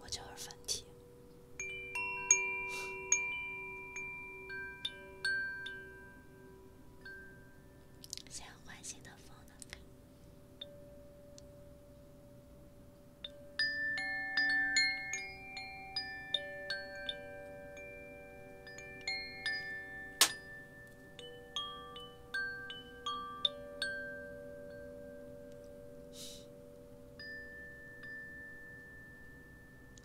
我叫二分体。先换新的风灯看。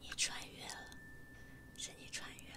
你穿越了，是你穿越了。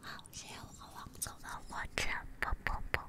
好，谢谢我王子的抱抱抱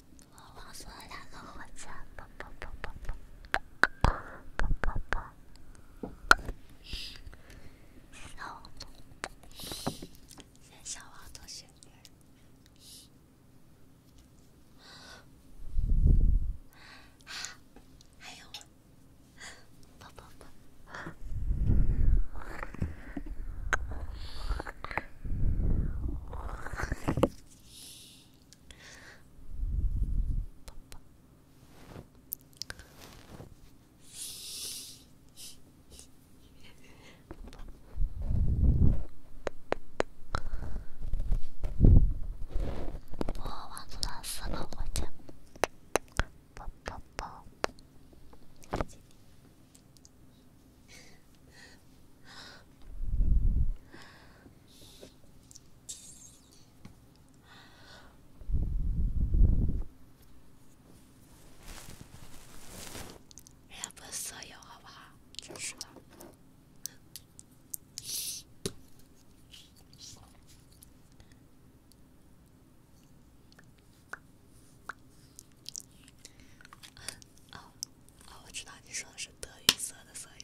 我王说：“两个火车，我王总死了，我讲。人家不是色友，好不好？是哦，我知道你说的是德云社的色友。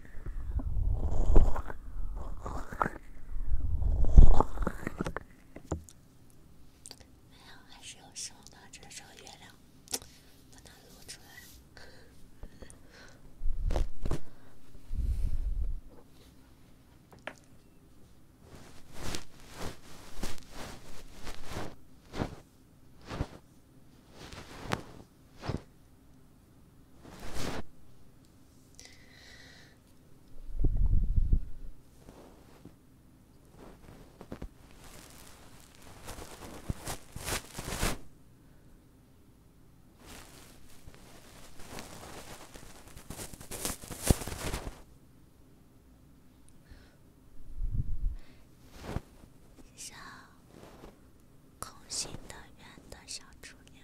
没有，还是用手挡着，让月亮不 能露出来。像空心的圆的小竹帘。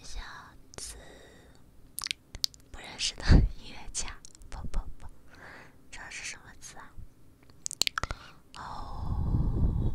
一下子不认识的音乐家，不不不，这是什么字啊？哦。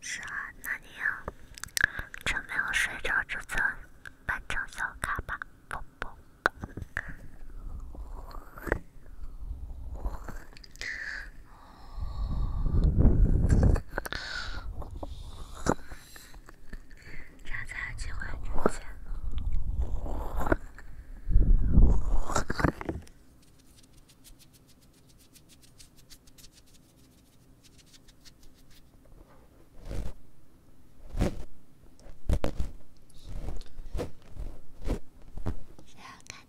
是啊，那你要趁没有睡着，之前，办张小卡吧。站在机会之前，谁有敢寂寞的资格？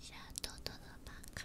小豆豆的办卡。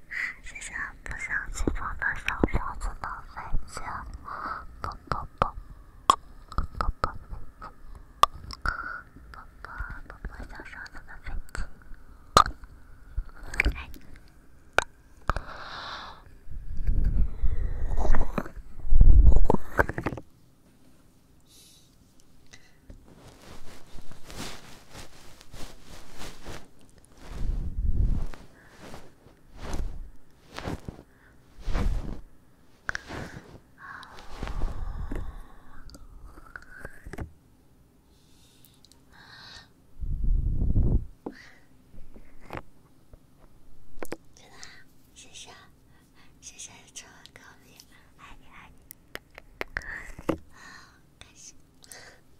谢谢不想起床的小狮子的飞机，啵啵啵，啵啵啵，啵啵啵啵小狮子的飞机，爱你。真的，谢谢，谢谢超哥米，爱你爱你，感谢。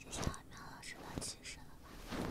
谢谢苗老师的提示了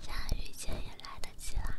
想遇见也来得及啦。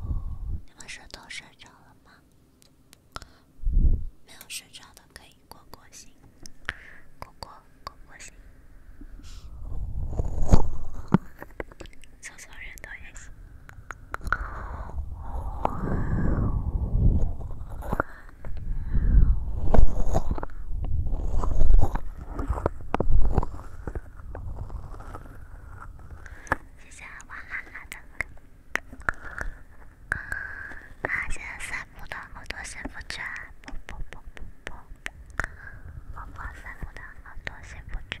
哦，你们是都睡着了吗？没有睡着的可以过过心，过过过过心，搜索人都也行。谢谢哇哈哈的，啊！现在散的很多幸福圈，啵啵的很多幸福圈。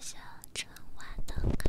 小春晚的歌。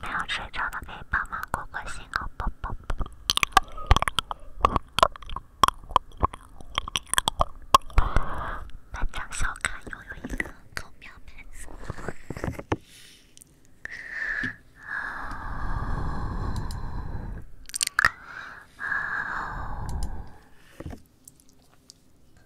没有睡着的可以帮忙过过心哦，宝宝。班长小卡又有一个公喵粉丝。好。好。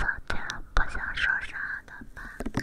今天不想说啥的吧。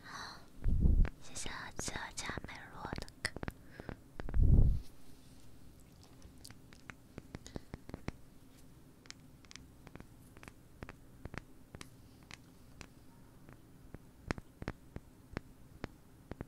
好，谢谢吉尔加梅洛的歌。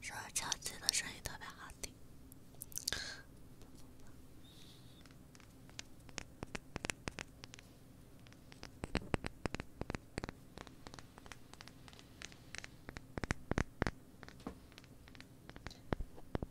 手敲击的声音特别好听。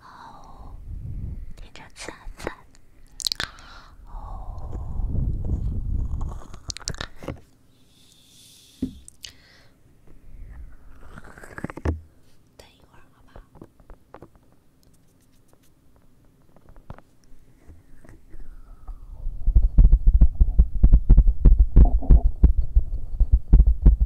哦，听着，赞赞。哦，等一会儿，好吧。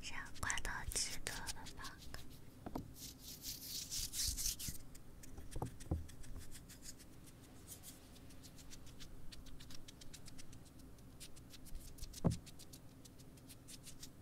先关到极左了吧。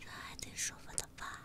这还挺舒服的吧？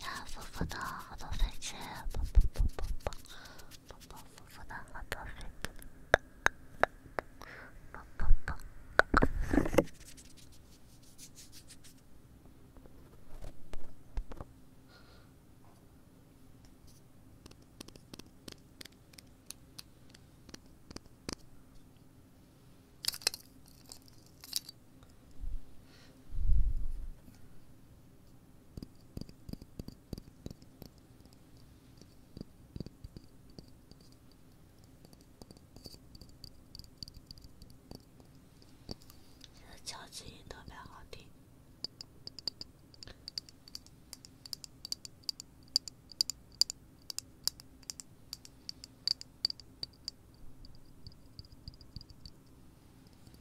呀，丰富的很多飞机，砰砰砰砰砰，砰砰丰富的很多飞机，砰砰砰。这敲击音特别好听。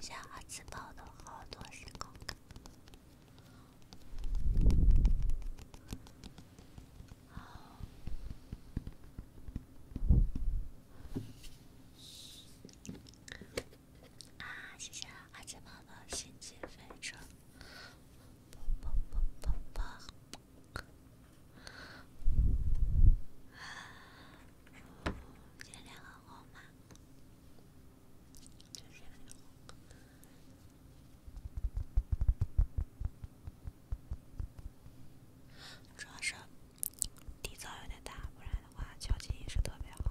像阿紫宝的好多时空。啊，谢谢阿紫宝的星际飞车。主要是底噪有点大，不然的话，敲击也是特别好。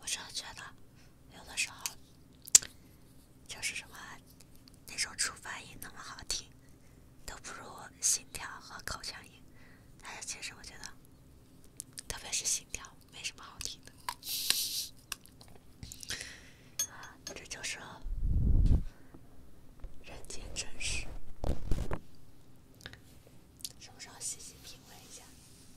我真的觉得。有的时候，就是什么那种触发音那么好听，都不如心跳和口腔音。但是其实我觉得，特别是心跳，没什么好听的。这就是人间真实。什么时候细细品味一下？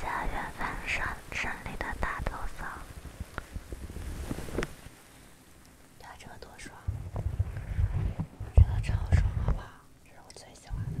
下原山上森林的大头草，你看这个多爽，这个超爽，好不好？这是我最喜欢的。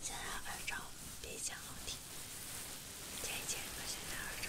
现在耳罩比较好听，姐姐，现在耳罩。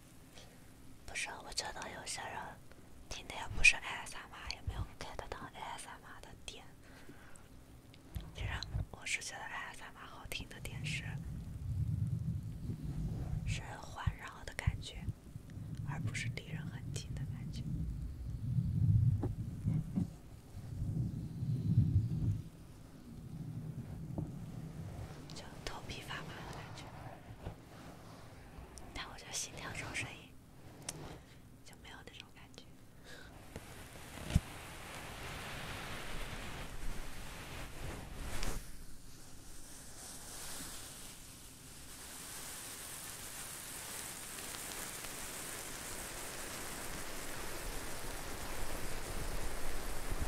不是，我觉得有些人听的也不是爱萨玛，也没有 e 得到爱萨玛的点。其实，我觉得爱萨玛好听的点是，是环绕的感觉，而不是离人很近的感觉。就头皮发麻的感觉，但我就喜欢这种声音，就没有那种感觉。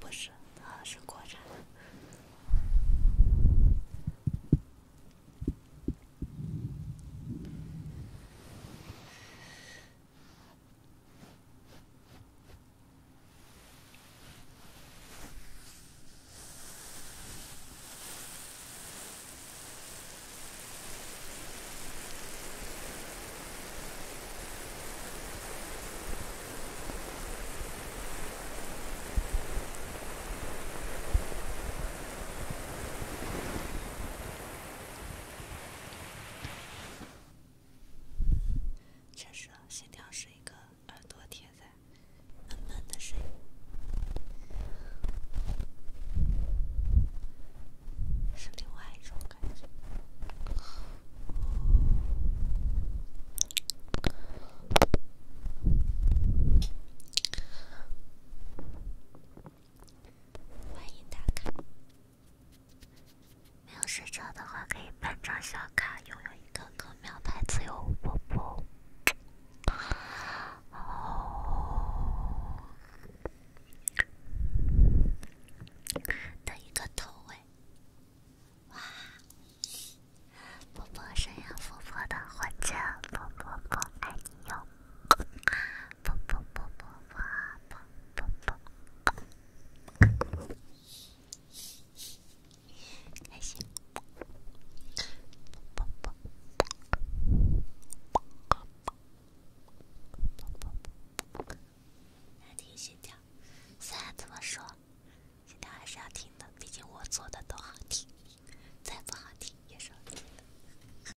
不是，是国产。的。确实，心跳是一个。耳朵贴在是另外一种感觉。欢迎打卡，没有睡着的话可以办张小卡，拥有一个歌。苗寨自由婆婆，开心啵啵啵啵啵啵啵啵啵啵啵啵，来听心跳。虽然这么说，心跳还是要听的，毕竟我做的都好听，再不好听也是听的。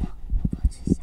我我知晓。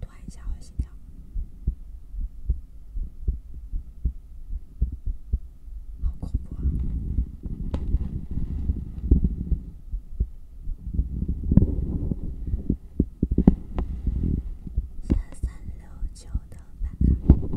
突然一下，好的心跳，好恐怖啊！三三六九的班卡。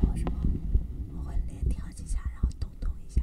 然后什么，我会连跳几下，然后咚咚一下。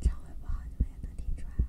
唱会不好，你们也能听出来。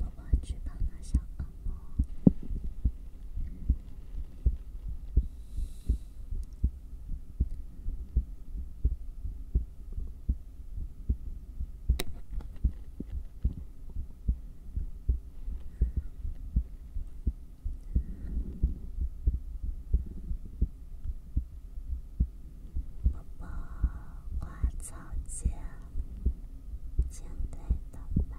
宝宝去帮个小狗忙。宝宝，花草间，现代打扮。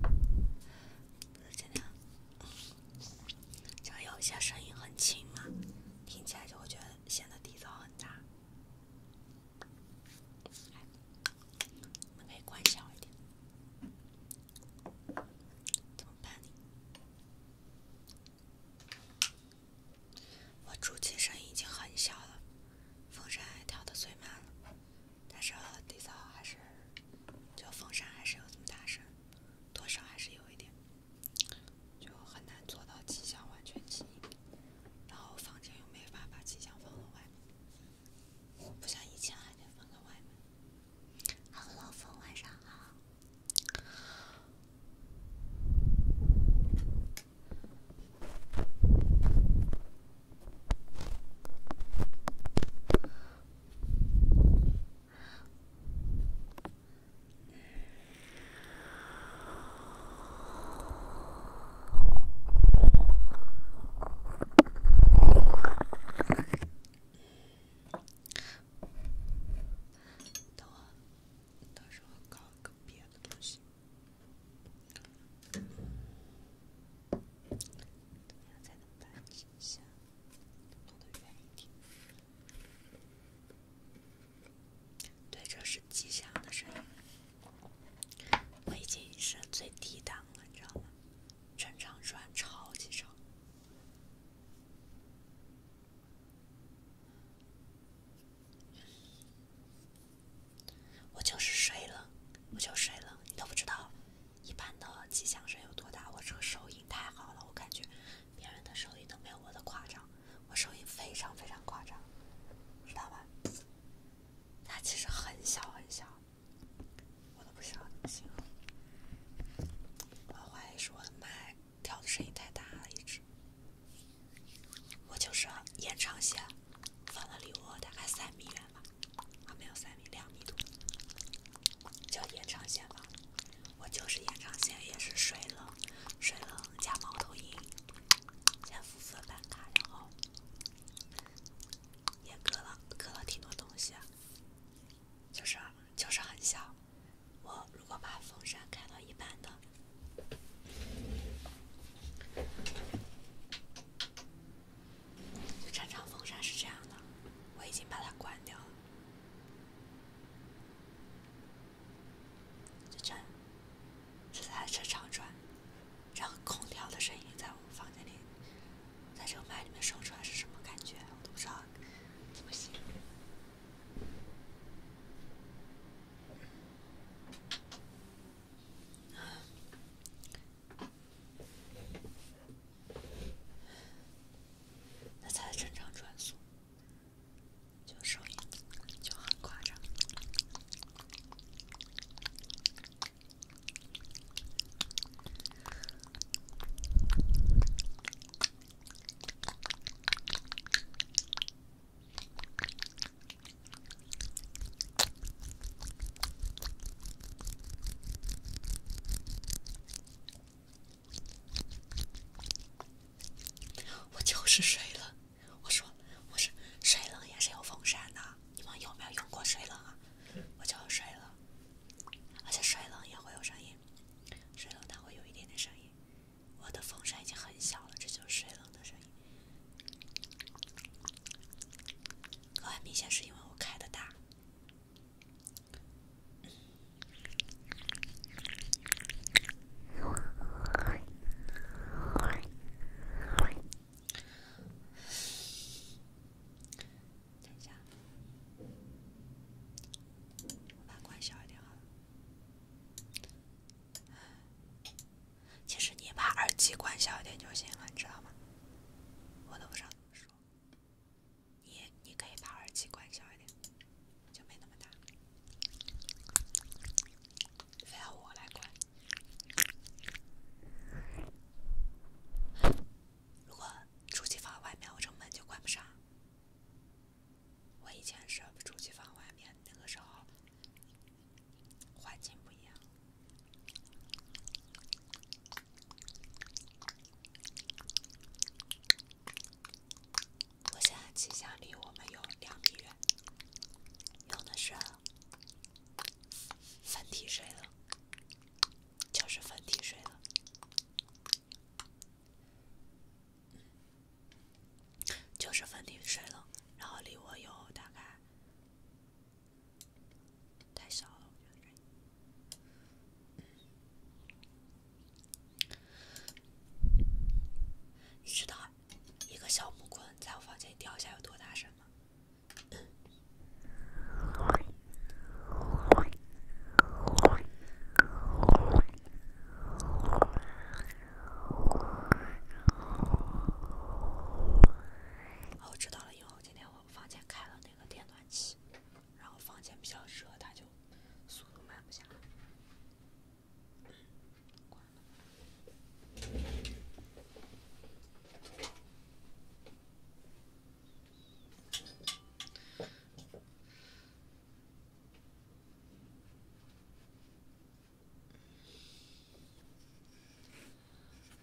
不是这样，就有些声音很轻嘛，听起来就会觉得显得底噪很大。我们可以关小一点。怎么办呢？我主机声音已经很小了，风扇还调的最慢了。但是地扫还是，就风扇还是有这么大声，多少还是有一点，就很难做到气象完全静，然后房间又没法把气箱放到外面，不像以前还能放到外面。h e 风，晚上好。等我，到时候搞个别怎样才能把机箱弄得远一点？对，这是机箱的声音。我已经是最低档了，你知道吗？正常转超级长。我就是睡了，我就睡了，你都不知道。一般的机箱声有多大？我这个收音太好了，我感觉别人的收音都没有我的夸张。我收音非常非常夸张，知道吧？它其实很小很小，我都不怎么形容。我怀疑是我的麦调的声音太大了，一直。我就是延长线放了离我大概三米远。啊，没有三米，两米多，叫延长线吧。我就是延长线，也是水冷，水冷加猫头鹰，加肤色单卡，然后也割了割了挺多东西，就是就是很小。我如果把风扇开到一般的。这场风扇是这样的，我已经把它关掉了。就转，就在车场转，然后空调的声音在我们房间里，在这个麦里面说出来是什么感觉？我都不知道怎么形容。那才正常转速，就声音就很夸张。我就是水冷，我说，我是水冷也是有风扇的，你们有没有用过水冷啊？我就水冷，而且水冷也会有声音，水冷它会有一点点声音。我的风扇已经很小了，这就是水冷的声音。很明显是因为我开的大。等一下，我把关小一点好了。其实你把耳机关小一点就行了，你知道吗？我都不知道怎么说。你你可以把耳机关小一点，就没那么大。非要我来关。如果主机放外面，我这门就关不上。我以前是主机放外面，那个时候环境不一样。我现在气象离我们有两米远，用的是分体水了，就是分体水了，就是分体水了，然后离我有大概。太少了。我觉得。你知道一个小木棍在我房间里掉下有多大声吗？哦，知道了，因为我今天我房间开了那个电暖气。然后房间比较热，它就速度慢不下来。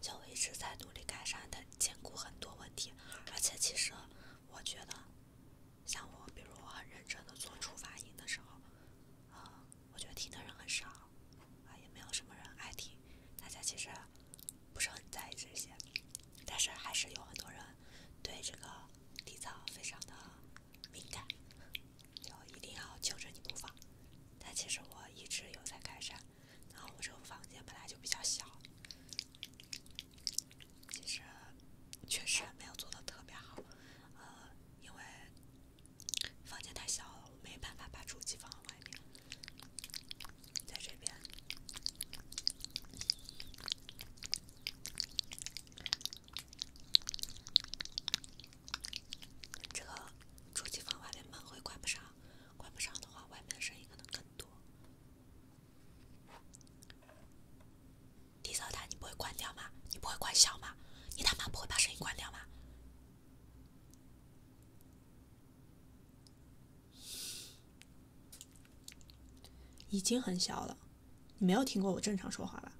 就一直在努力改善的，兼顾很多问题。而且其实，我觉得，像我，比如我很认真的做出发音的时候，嗯，我觉得听的人很少，啊，也没有什么人爱听。大家其实不是很在意这些，但是还是有很多人对这个底噪非常的敏感，就一定要纠正你不放。但其实我一直有在改善。然后我这个房间本来就比较小，其实确实没有做的特别好，呃，因为房间太小了，我没办法把主机放在外面，在这边这个主机房外面门会关不上。关不上的话，外面的声音可能更多。低噪大，你不会关掉吗？你不会关小吗？你他妈不会把声音关掉吗？已经很小了，你没有听过我正常说话吧？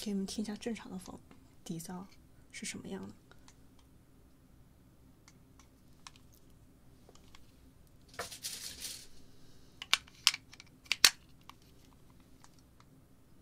给你们听一下正常的风底噪是什么样的。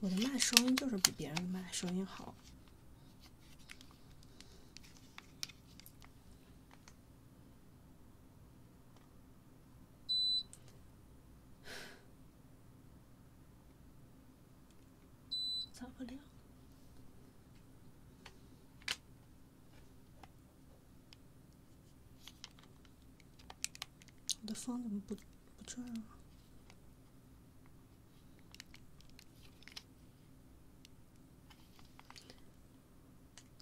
我的麦声音就是比别人的麦声音好。我的风怎么不不转啊？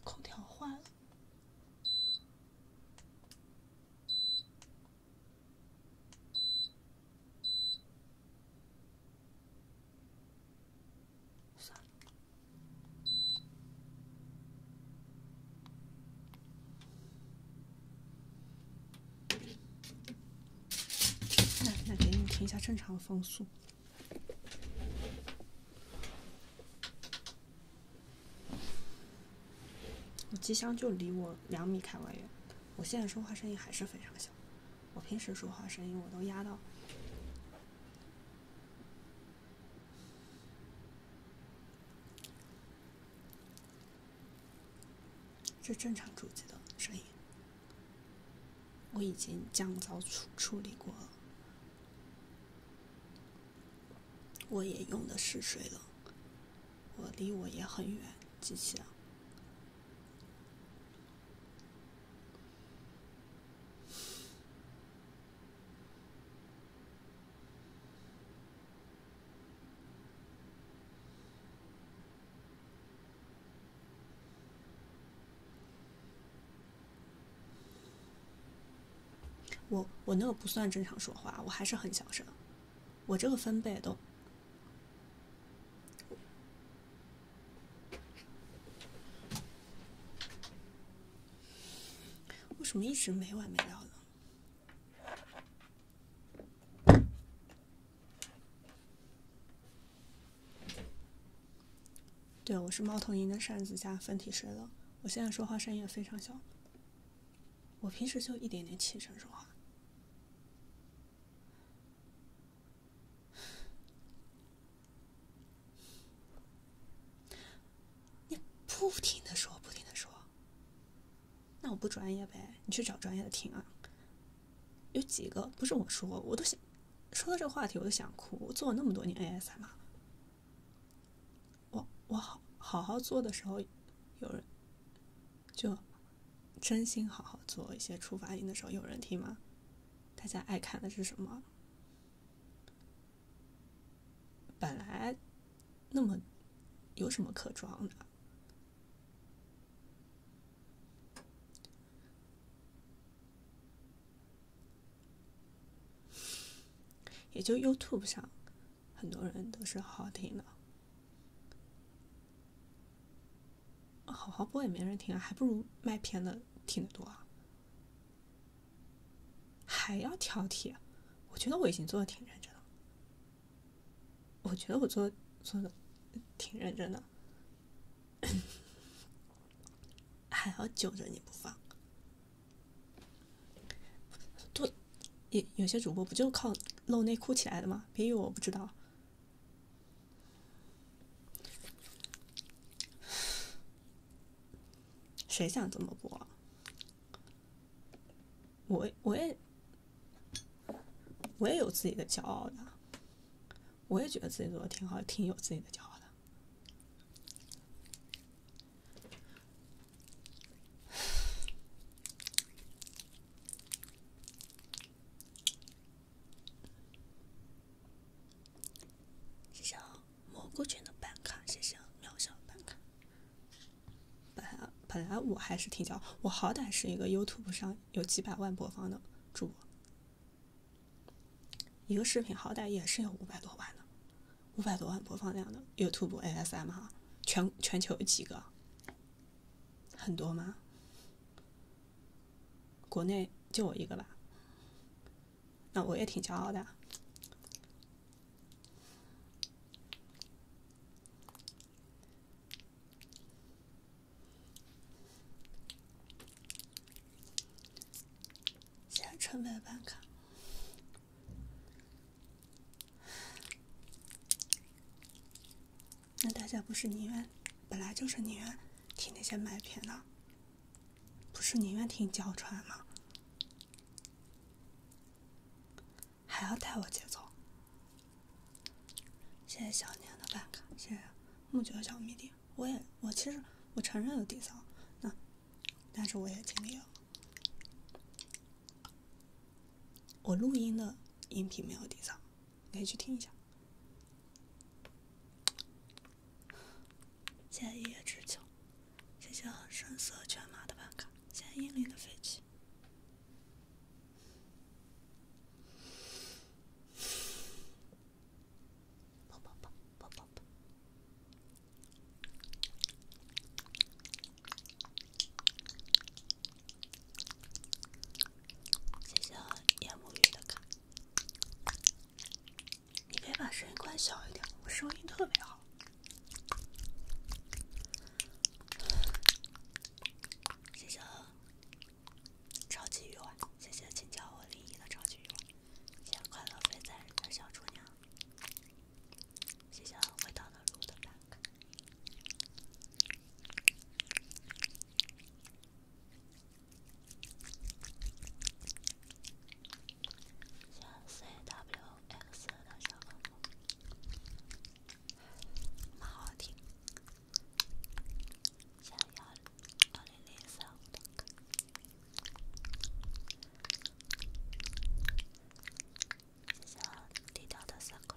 空调坏了。啥？那那给你听一下正常的风速。机箱就离我两米开外远，我现在说话声音还是非常小。我平时说话声音我都压到。是正常主机的声音，我已经降噪处处理过了，我也用的是水冷，我离我也很远，机器啊。我我那个不算正常说话，我还是很小声。我这个分贝都……为什么一直没完没了的？对，我是猫头鹰的扇子加分体水了。我现在说话声音也非常小，我平时就一点点气声说话。你不停的说，不停的说。那我不专业呗，你去找专业的听啊。有几个不是我说，我都想说到这个话题，我都想哭。我做了那么多年 ASMR，我我好好好做的时候，有人就真心好好做一些触发音的时候，有人听吗？大家爱看的是什么？本来那么有什么可装的？也就 YouTube 上很多人都是好听的，好好播也没人听啊，还不如卖片的听得多。啊。还要挑剔，我觉得我已经做的挺认真了。我觉得我做做的挺认真的，还要揪着你不放。多，有有些主播不就靠露内裤起来的吗？别以为我不知道。谁想这么播？我我也我也有自己的骄傲的，我也觉得自己做的挺好，挺有自己的骄傲的。谢谢蘑菇菌的办卡，谢谢喵小办卡。本来本来我还是挺骄傲，我好歹是一个 YouTube 上有几百万播放的主播，一个视频好歹也是有五百多万的，五百多万播放量的 YouTube ASM 哈，全全球有几个？很多吗？国内就我一个吧，那我也挺骄傲的。宣传没办卡。那大家不是宁愿，本来就是宁愿听那些麦片的，不是宁愿听娇传吗？还要带我节奏？谢谢小年的办卡，谢谢木觉小迷弟。我也，我其实我承认有底噪，那但是我也尽力了。我录音的音频没有底噪，你可以去听一下。见一叶知秋。谢谢声色犬马的办卡，谢谢英灵的飞机，抱抱抱，抱抱抱。谢谢夜暮雨的卡，你别把声音关小一点，我声音特别好。谢谢超级鱼丸，谢谢请教我语音的超级鱼丸，谢谢快乐飞在的小猪娘，谢谢我糖糖煮的 W。x 的小恶魔，蛮好听。三幺二零零三五，谢谢低调的色块。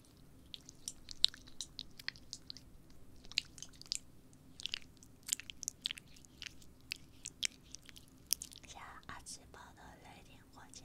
下二次包的雷霆火箭。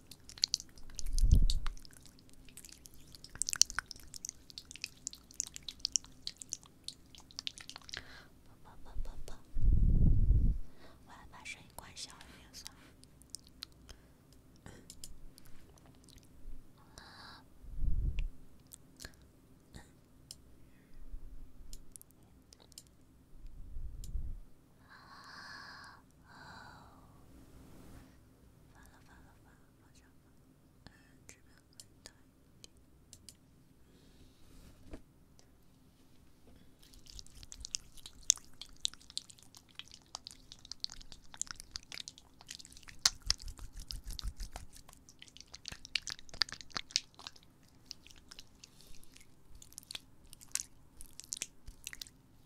啵啵啵啵啵，我要把声音关小一点，算了。哦，完了完了完了，放下吧。嗯，这边可以大一点。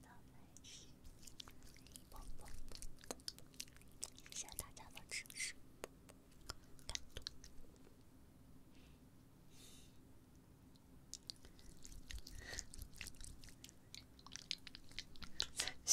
感谢大家的支持，感谢。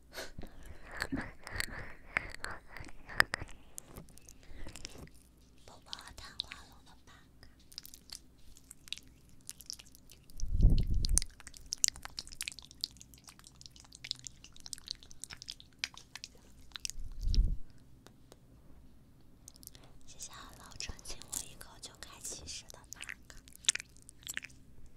宝宝，糖葫芦的吧卡。谢谢老陈亲我一口就开七十的吧卡。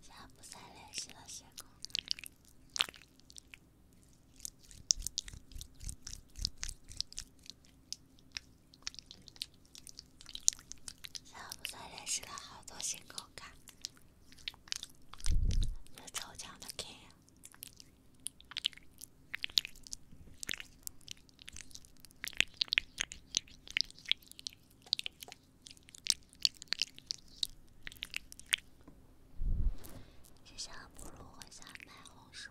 下午才练习了新下午了好多新口卡。我抽奖了，谢谢！不如回家买红薯。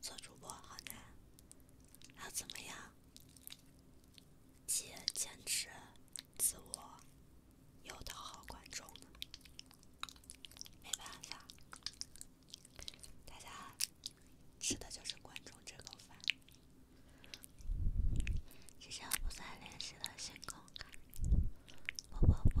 做主播好难，要怎么样？既坚持自我，又讨好观众，没办法。大家吃的就是观众这口饭，即将不再联系的星空。不不不。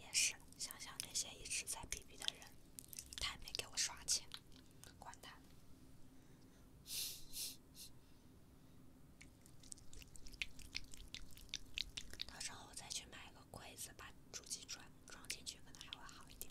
也是，想想那些一直在逼逼的人，太没给我刷钱，管他。到时候我再去买一个柜子，把主机装装进去，可能还会好一点。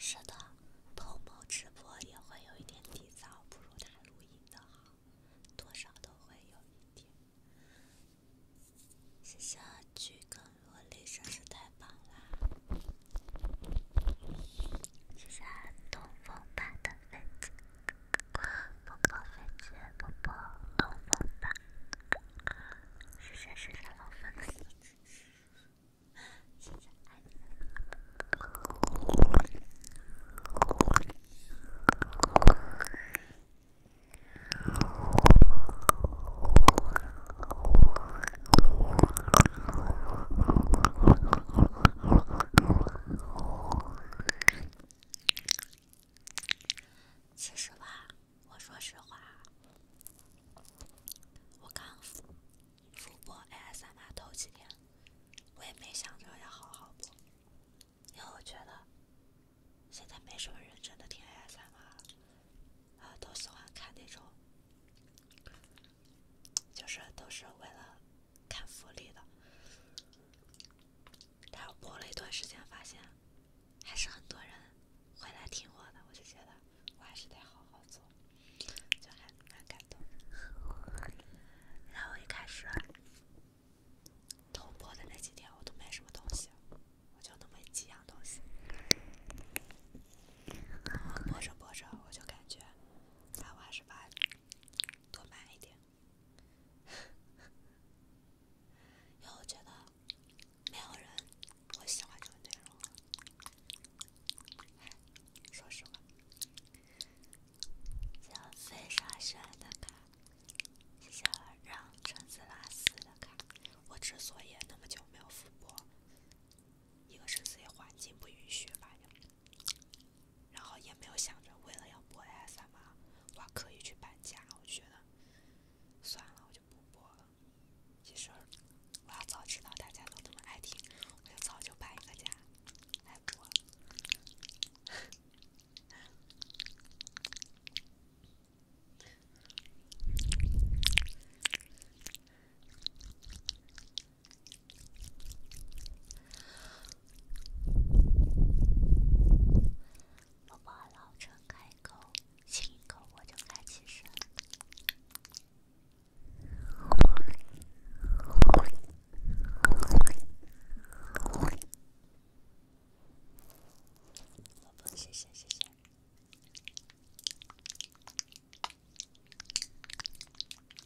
是的，同谋直播也会有一点底噪，不如他录音的好，多少都会有一点。谢谢菊梗萝莉，真是太棒啦！谢谢东风爸的粉丝，波波粉丝，波波，东风爸，谢谢谢谢老粉丝，谢谢爱你们。其实吧，我说实话，我刚复播 ASMR 头几天，我也没想着要好好播，因为我觉得现在没什么人真的听 ASMR 了，啊，都喜欢看那种。就是都是为了看福利的，但我播了一段时间，发现还是很多人会来听我的，我就觉得我还是得好好做，就还蛮感动。然后一开始，头播的那几天我都没什么东西，我就那么几样东西。播着播着，我就感觉，我还是把。多买一点，因为我觉得没有人会喜欢这个内容。说实话，谢飞沙雪的卡，谢让橙子拉丝的卡。我之所以那么久没有复播，一个是自己环境不允许吧。然后也没有想着为了要播 S M 啊，我要刻意去搬家。我觉得算了，我就不播了。其实我要早知道大家都那么爱听，我就早就搬一个家来播。了。宝宝老是开口亲一口，我就开启声。谢谢谢谢。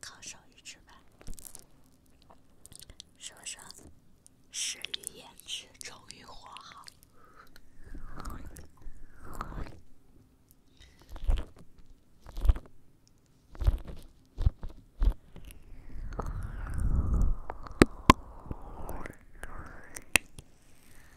靠手艺吃饭，说说，始于颜值，忠于货好。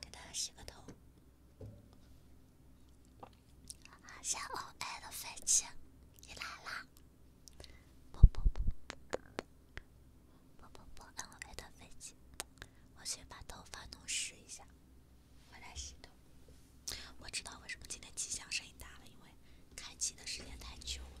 给他洗个头。小恩威的飞机，你来啦！啵啵啵啵啵啵啵！恩威的飞机，我去把头发弄湿一下。我来洗头。我知道为什么今天气象声音大了，因为开机的时间太久了。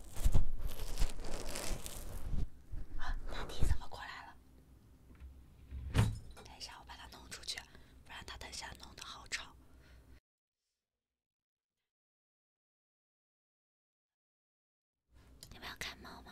啊！大地怎么过来了？等一下，我把它弄出去，不然它等下弄得好吵。你们要看猫吗？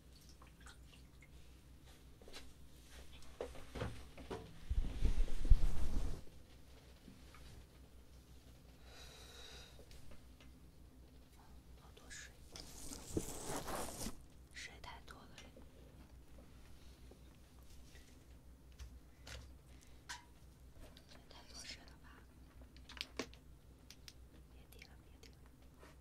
好多水，水太多了，也太多水了吧？别点了，别点了。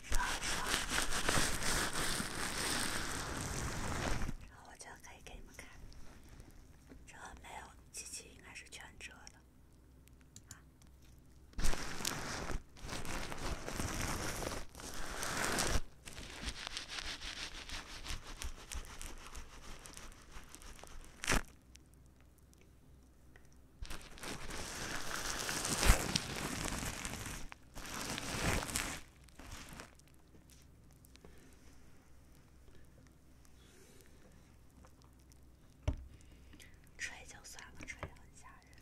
折折，然后我就可以给你们看。这没有几集，应该是全折的。啊。吹就算了，吹很吓人。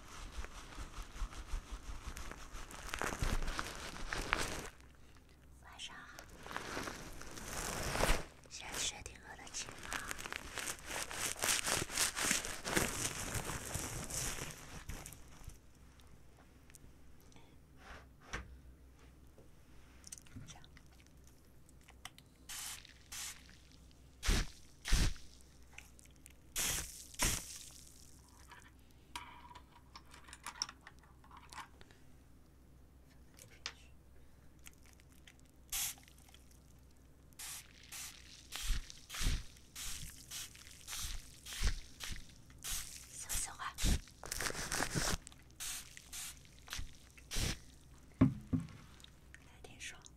晚上好，先确定额的情况。讲。说实话，来听说。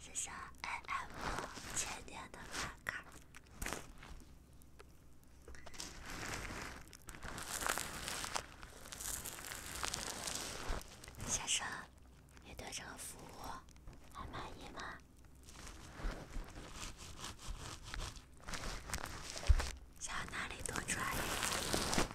先生，爱爱我，今天的打卡。先生，你对这个服务还满意吗？想要哪里多穿一点。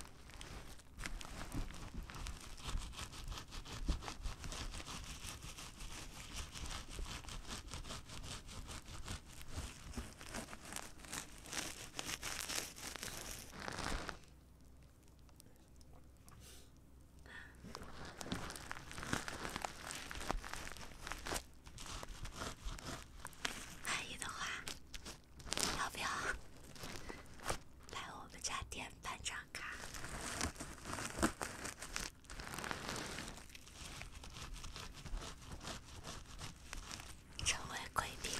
万一的话。要不要来我们家店办张卡，成为贵宾？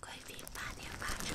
贵宾八点八折。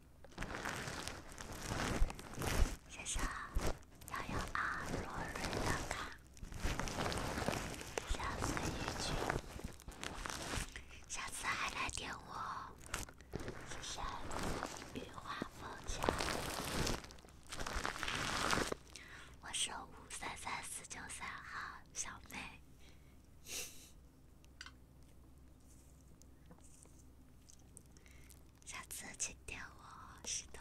先生，幺幺二罗瑞的卡。下次一句，下次还来点我。谢谢雨花风求。我是五三三四九三号，小妹。下次请点我，是的。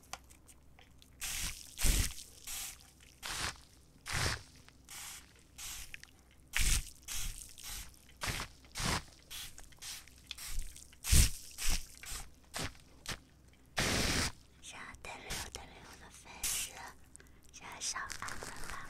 先得留得留个粉丝，先上岸吧。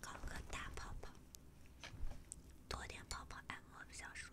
搞个大泡泡，多点泡泡按摩比较舒服。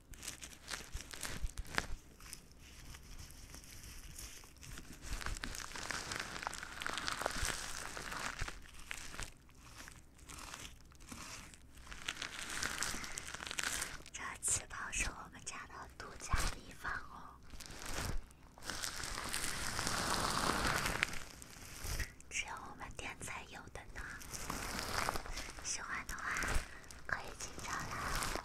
这气泡是我们家的独家秘方哦。只有我们店才有的呢，喜欢的话可以经常来哦。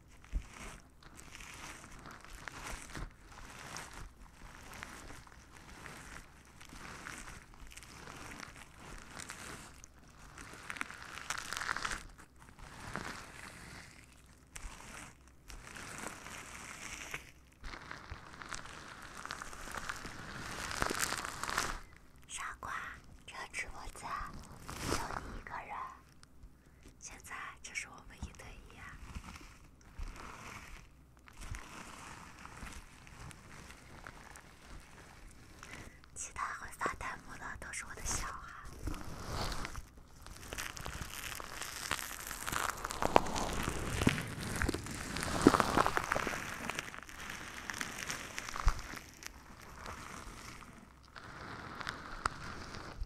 傻瓜，这直播间就你一个人。现在这是我们一对一啊，其他会发弹幕的都是我的小孩。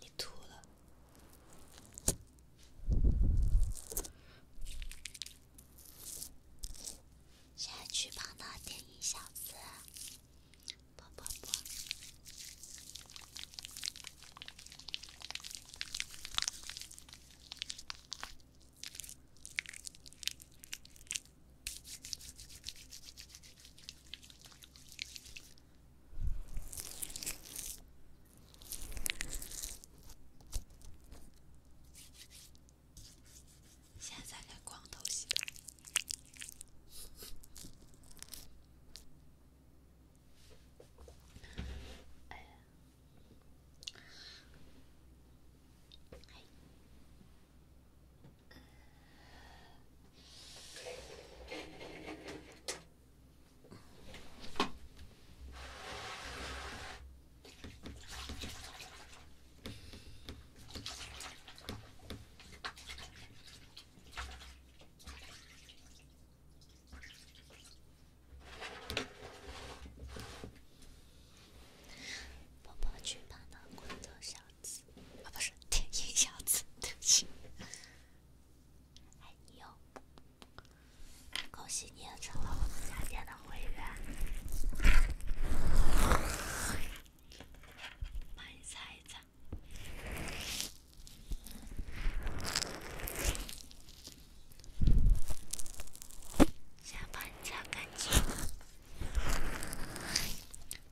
你吐了！现在去帮那电影小子。不不不。现在连光头洗。哎呀，哎。爸爸剧版的光头小子啊，不是铁英小子，对不起。哎，你又！恭喜你也成了我们家店的会员，帮你擦一擦，先把你擦干净。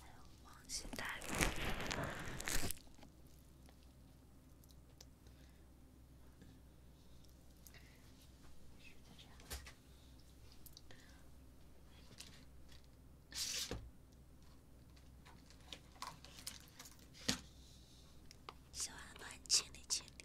还有王心大。喜欢的帮你清理清理。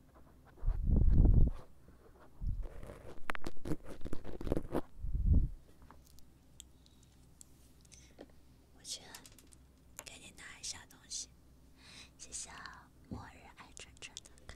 我去，给你拿一下东西，谢谢啊。末日爱转转的卡。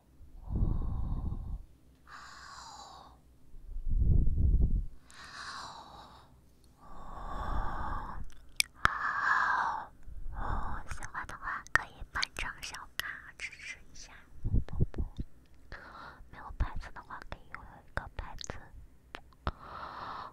哦哦哦哦哦！喜欢的话可以办张小卡支持一下，不不不，没有牌子的话可以用一个牌子。哦。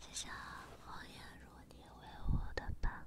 谢谢黄艳茹，你为我的伴。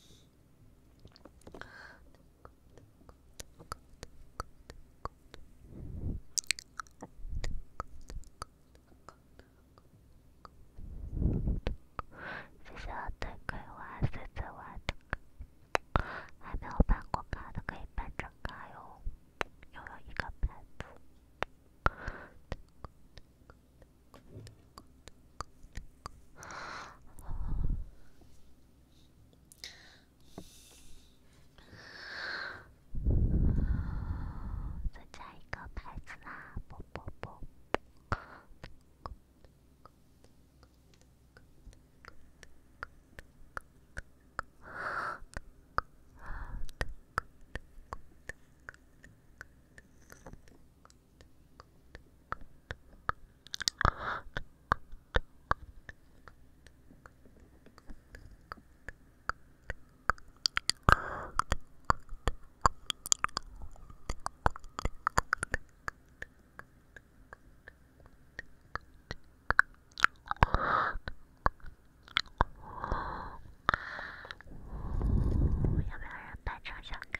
谢谢我的葵花，狮子花的，还没有办过卡的可以办张卡哟，拥有一个伴读。再加一个牌子啊！不不不。要不要人扮成小哥？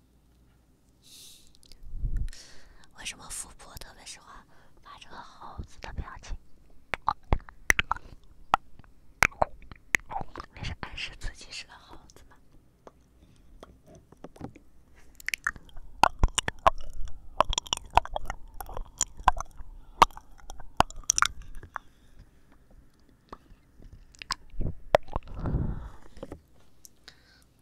为什么富婆特别喜欢发这个猴子的表情？那是暗示自己是个猴子吗？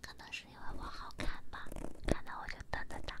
可能是因为我好看吧，看到我就瞪瞪他。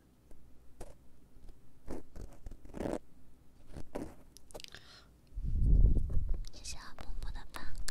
谢谢木木的赞卡。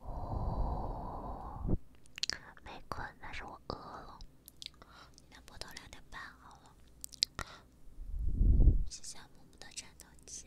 哦，没困，但是我饿了。你俩播到两点半好了。谢谢木木的战斗机。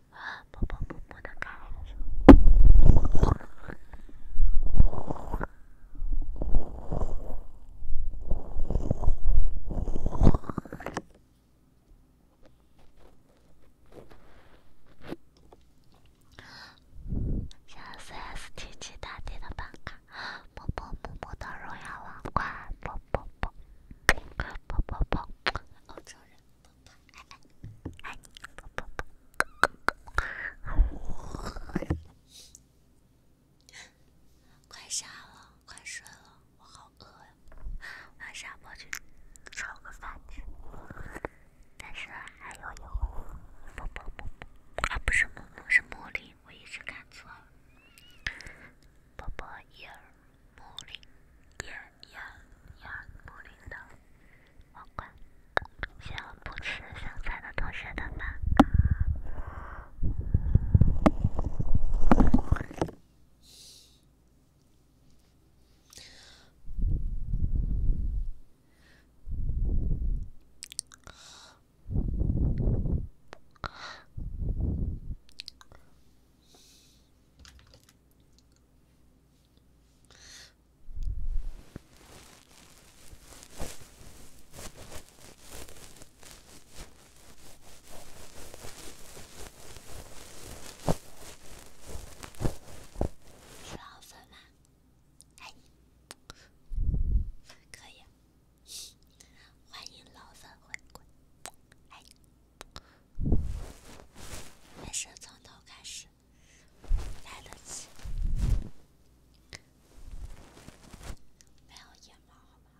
啊！宝宝，默默的看。像 CS:TP 大地的板卡，宝宝，默默的荣耀皇冠，宝宝，宝，宝宝，老招人。快下了，快睡了，我好饿呀！晚上我去炒个饭吃，但是还要一会儿。啵啵啵啵，啊不是啵啵，是茉莉，我一直看错。啵啵耶，茉莉耶耶耶，茉莉的。我管，喜欢不吃香菜的同学的吗？是老粉吗？爱你，可以，欢迎老粉回归，爱你。没事，从头开始。来了，去。不要野猫，好吗？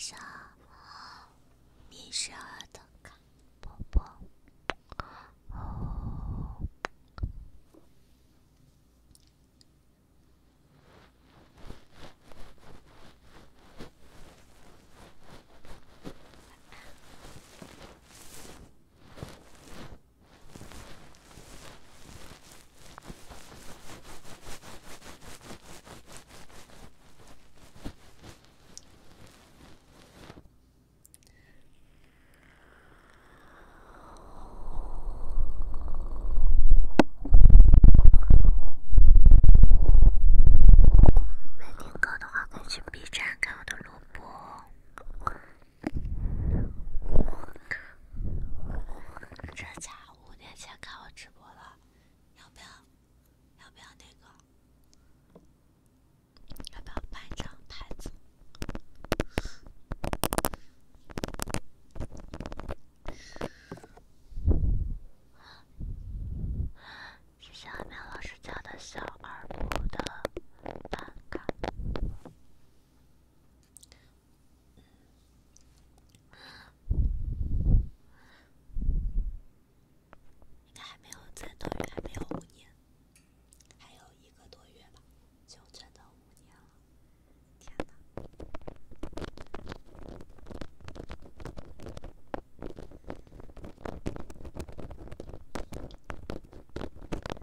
小熊，迷失儿童卡，宝宝。没听够的话，可以去 B 站看我的录播。这家五年前看我直播了，要不要？要不要那个？要不要办张牌子？谢谢阿明老师家的小耳朵的办卡。还没有，再多远？还没有五年，还有一个多月吧，就真的五年了。天哪！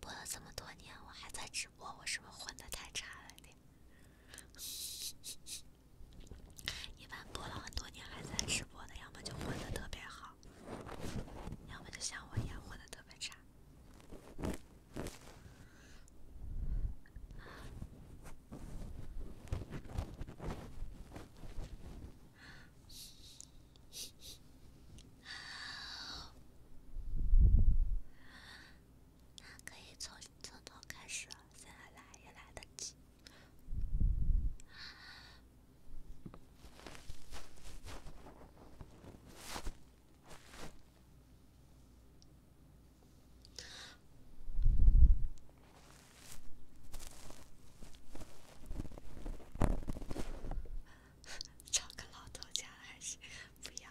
播了这么多年，我还在直播，我是不是混的太差了点？一般播了很多年还在直播的，要么就混的特别好。要么就像我一样混的特别差，那可以从从头开始，现来也来得及。找个老头嫁了，还是不要？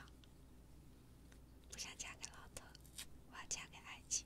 不想嫁给老头，我要嫁给爱情。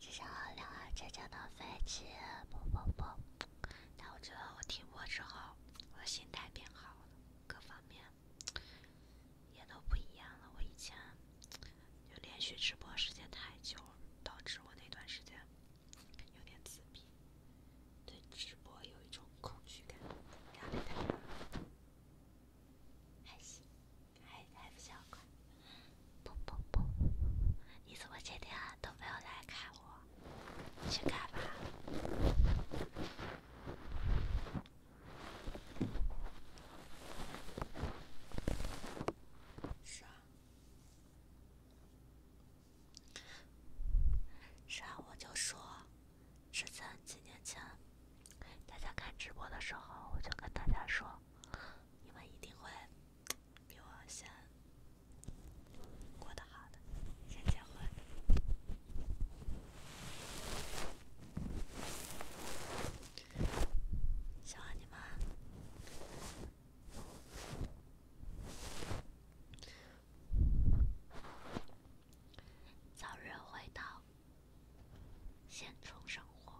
少是两架真的飞机，不不不。但我觉得我停播之后，我心态变好了，各方面也都不一样了。我以前就连续直播时间太久了，导致我那段时间有点自闭，对直播有一种恐惧感。压力太大了，还行，还还不小快。不不不！你怎么今天都没有来看我？去干嘛？是啊，是啊，我就说，之前几年前，大家看直播的时候，我就跟大家说，你们一定会。比我先过得好的，先结婚。希望你们早日回到现村生活。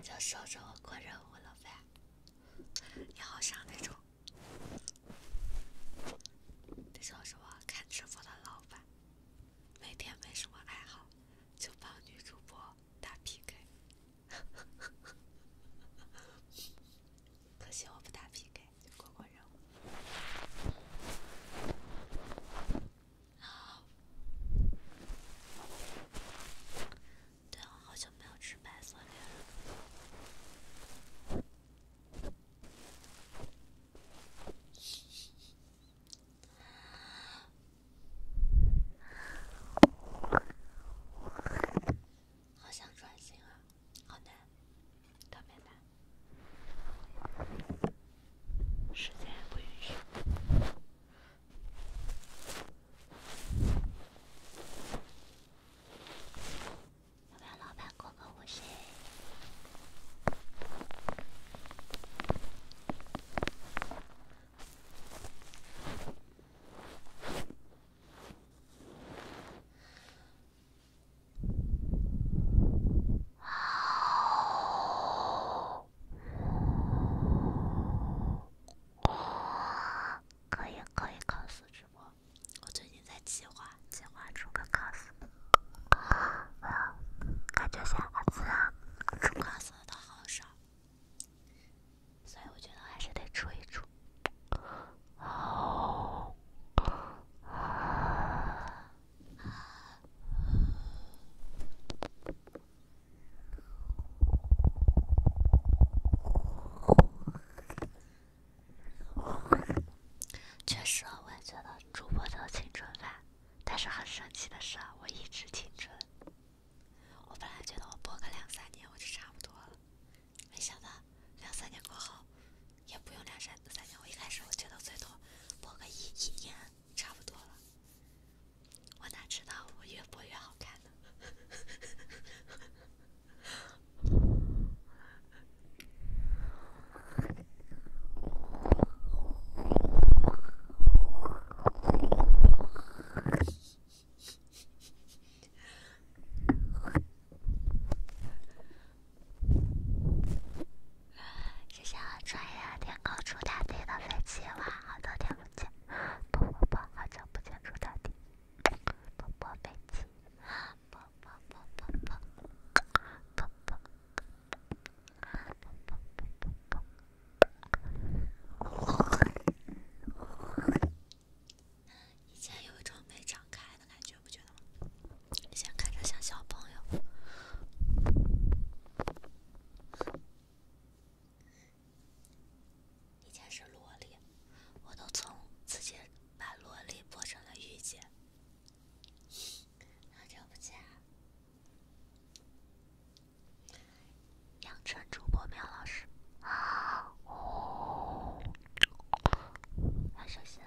就守着我过任务了呗，你好像那种那种什么看直播的老板，每天没什么爱好，就帮女主播。打 PK，可惜我不打 PK，过过任对，我好久没有吃白色送的。好想转型啊，好难，特别难，时间不允许。要不要老板过个午休？好，可以可以 cos 直播。我最近在计划计划出个 cos，感觉现在出 cos 的好少。所以我觉得还是得出一出。确实，我也觉得主播都青春范，但是很神奇的是，我一直青春。我本来觉得我播个两三年我就差不多了，没想到两三年过后也不用两三三年。我一开始我觉得最多播个一一年差不多了，我哪知道我越播越好看呢？就像穿越天空出大地的飞机，哇，好久听不见。不不不，好久不见出大地。不不飞机。不不不不不不不不不不不不以前有一种没长开的感觉，不觉得吗？以前看着像小朋友，以前是萝莉，我都从自己把萝莉变成了御姐。好久不见。养成主播苗老师，好，要休息啦。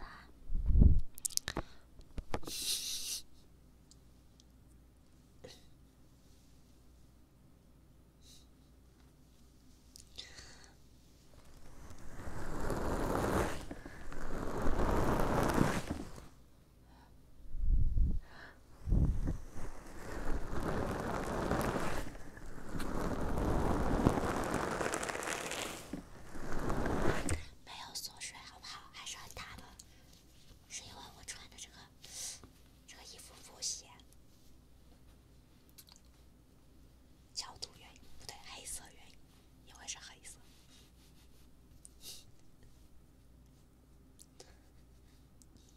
没有缩水好不好？还是很大吗？是因为我穿的这个这个衣服不显，角度原因不对，黑色原因，因为是黑色。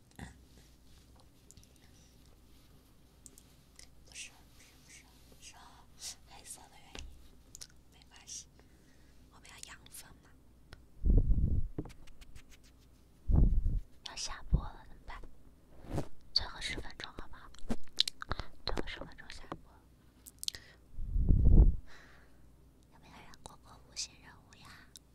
不是，不是，不是，是黑色的原因，没关系，我们要养分嘛。要下播了怎么办？最后十分钟，好吧，最后十分钟下播。有没有人过过无线任务呀？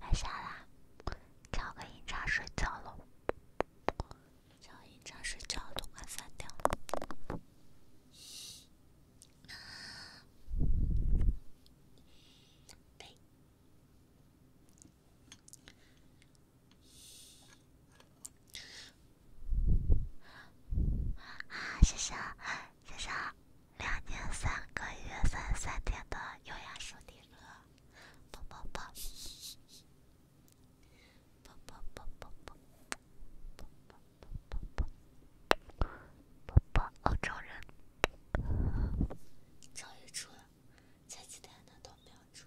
该下啦，叫个银章睡觉喽，叫银章睡觉都快三点了。对，啊，谢谢。欣赏两年三个月三三天的优雅淑女歌，啵啵啵，啵啵啵啵啵，啵啵啵啵啵，啵啵欧洲人，终于出了，前几天的都没有出。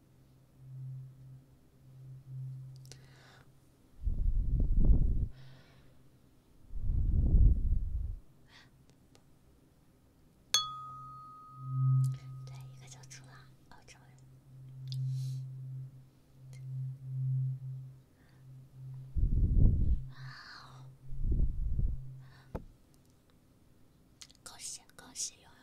对，一个叫朱拉，澳洲人。恭喜，恭喜，拥有。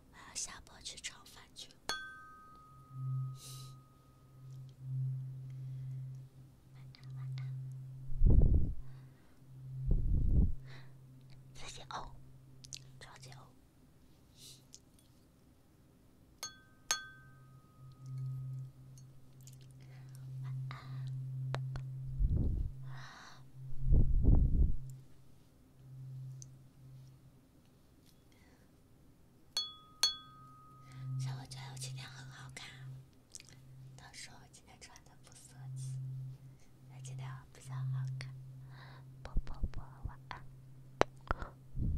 我要下播去炒饭去了。晚安，晚安。自己熬，超其实我觉得我今天很好看，但是我今天穿的不色气，但今天我比较好看。啵啵啵，晚安。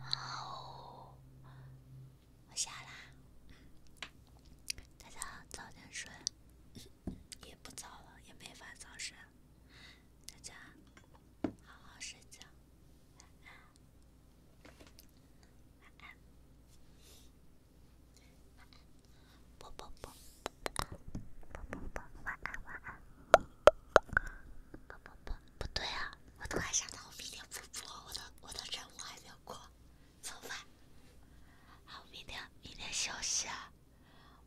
好，好，我下啦。大家早点睡，也不早了，也没法早睡。大家好好睡觉，晚安。啵啵啵，啵啵啵，晚安，晚安。不不不，不对啊！我都还想着我明天不播，我的我的任务还没有过，做饭，还明天明天休息，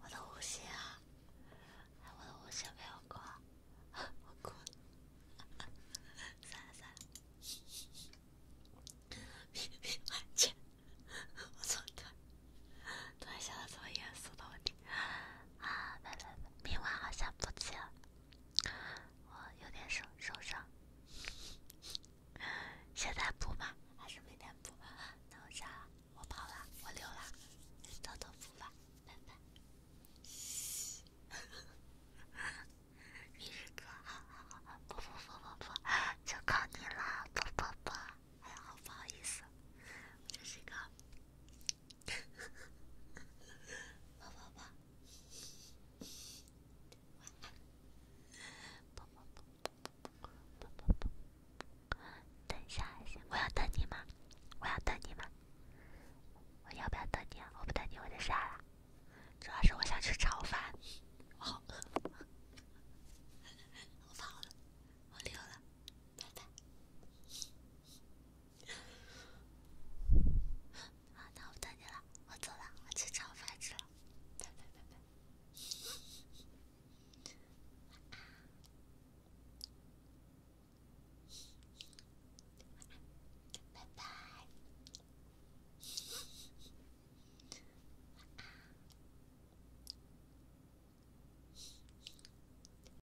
我的五星啊，我的五星没有过，我过，算了算了，我错了，突然想到这么严肃的问题。啊，拜拜！明晚好像不接，我有点受受伤。现在补吗？还是明天补？那我下了，我跑了，我溜了，偷偷补吧，拜拜。你是哥，不不不不不，就靠你了，不不不。哎呀，不好意思，这是一个。啵啵啵，晚安，啵啵啵啵啵啵，等一下，我要等你吗？我要等你吗？我要不要等你啊？我不等你，我得啥呀？主要是我想吃炒饭，我好饿，我跑了，我溜了，拜拜。好，那我等你了。我走了，我去炒饭吃了。拜拜拜拜。拜拜。